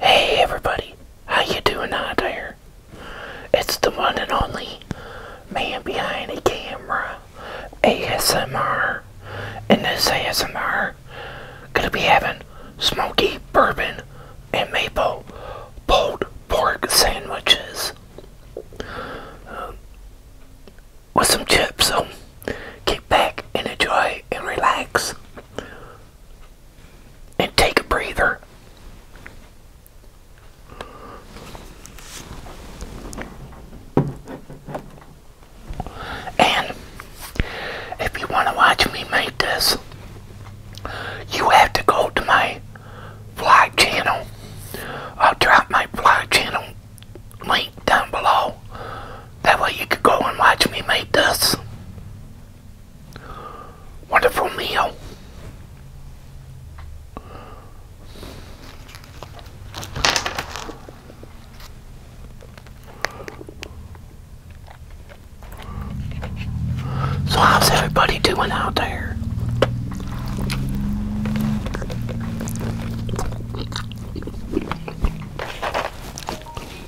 Hey everybody, how you doing out there? It's the one and only man behind the camera, ASMR, and this ASMR gonna be having smoky bourbon and maple pulled pork sandwiches um, with some chips. So. Keep back and enjoy and relax. And take a breather. And if you want to watch me make this, you have to go to my vlog channel. I'll drop my vlog channel link down below that way you could go and watch me make this wonderful meal. So how's everybody doing out there?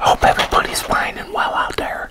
Hope everybody's fine well out there.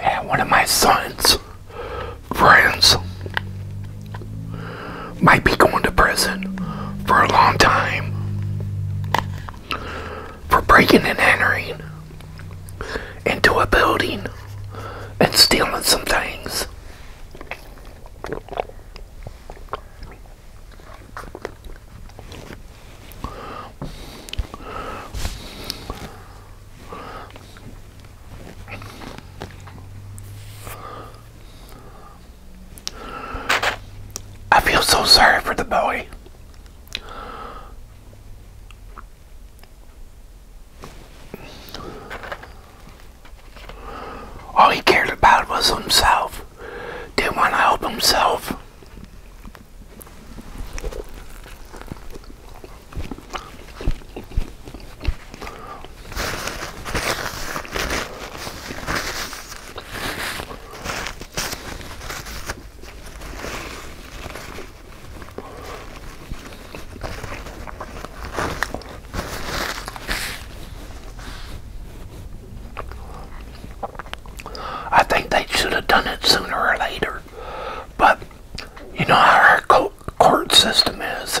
And one of my sons' friends might be going to prison for a long time for breaking and entering into a building and stealing some things. I feel so sorry for the boy. All he cared about was himself. Didn't want to help himself. I think they should have done it sooner or later, but you know how our court system is.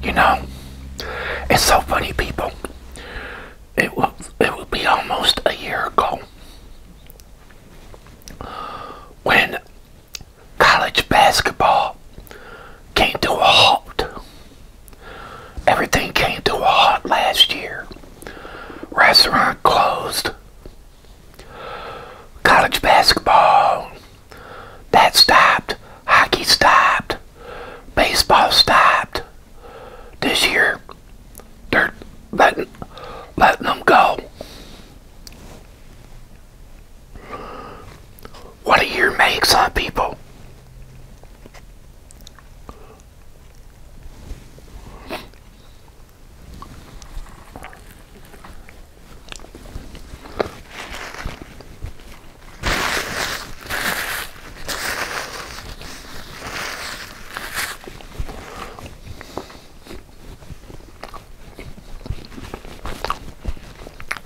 You know, it's so funny, people. It will it will be almost a year ago when college basketball came to a halt. Everything came to a halt last year. Restaurant closed. College basketball, that stopped. Hockey stopped. Baseball stopped. This year, they're letting, letting them go what a year makes on huh, people.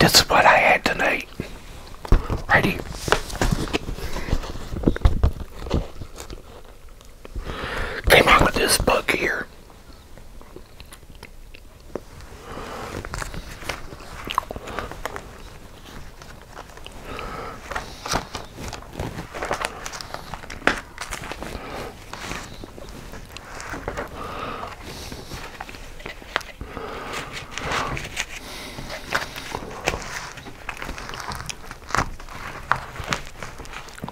This is what I had tonight. Ready? Came out with this bug here.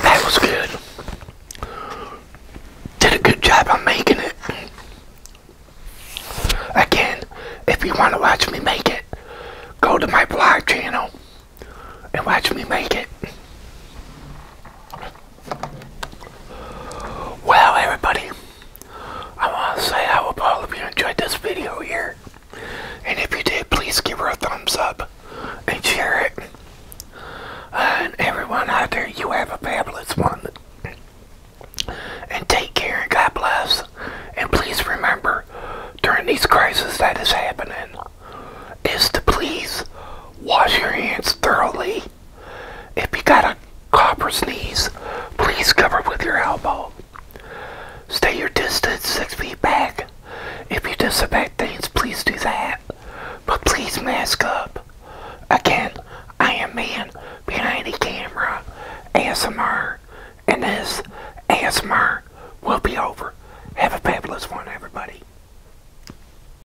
That was good. Did a good job on making it. Again, if you want to watch me make it, go to my blog channel and watch me make it. Well, everybody, I want to say I hope all of you enjoyed this video here. And if you did, please give her a thumbs up and share it. And everyone out there, you have a fabulous one. And take care and God bless. And please remember, during these crises that is happening, is to please wash your hands thoroughly if you got a copper sneeze, please cover with your elbow. Stay your distance six feet back. If you disinfect things, please do that. But please mask up. Again, I am man behind the camera, ASMR, and this ASMR will be over. Have a fabulous one, everybody.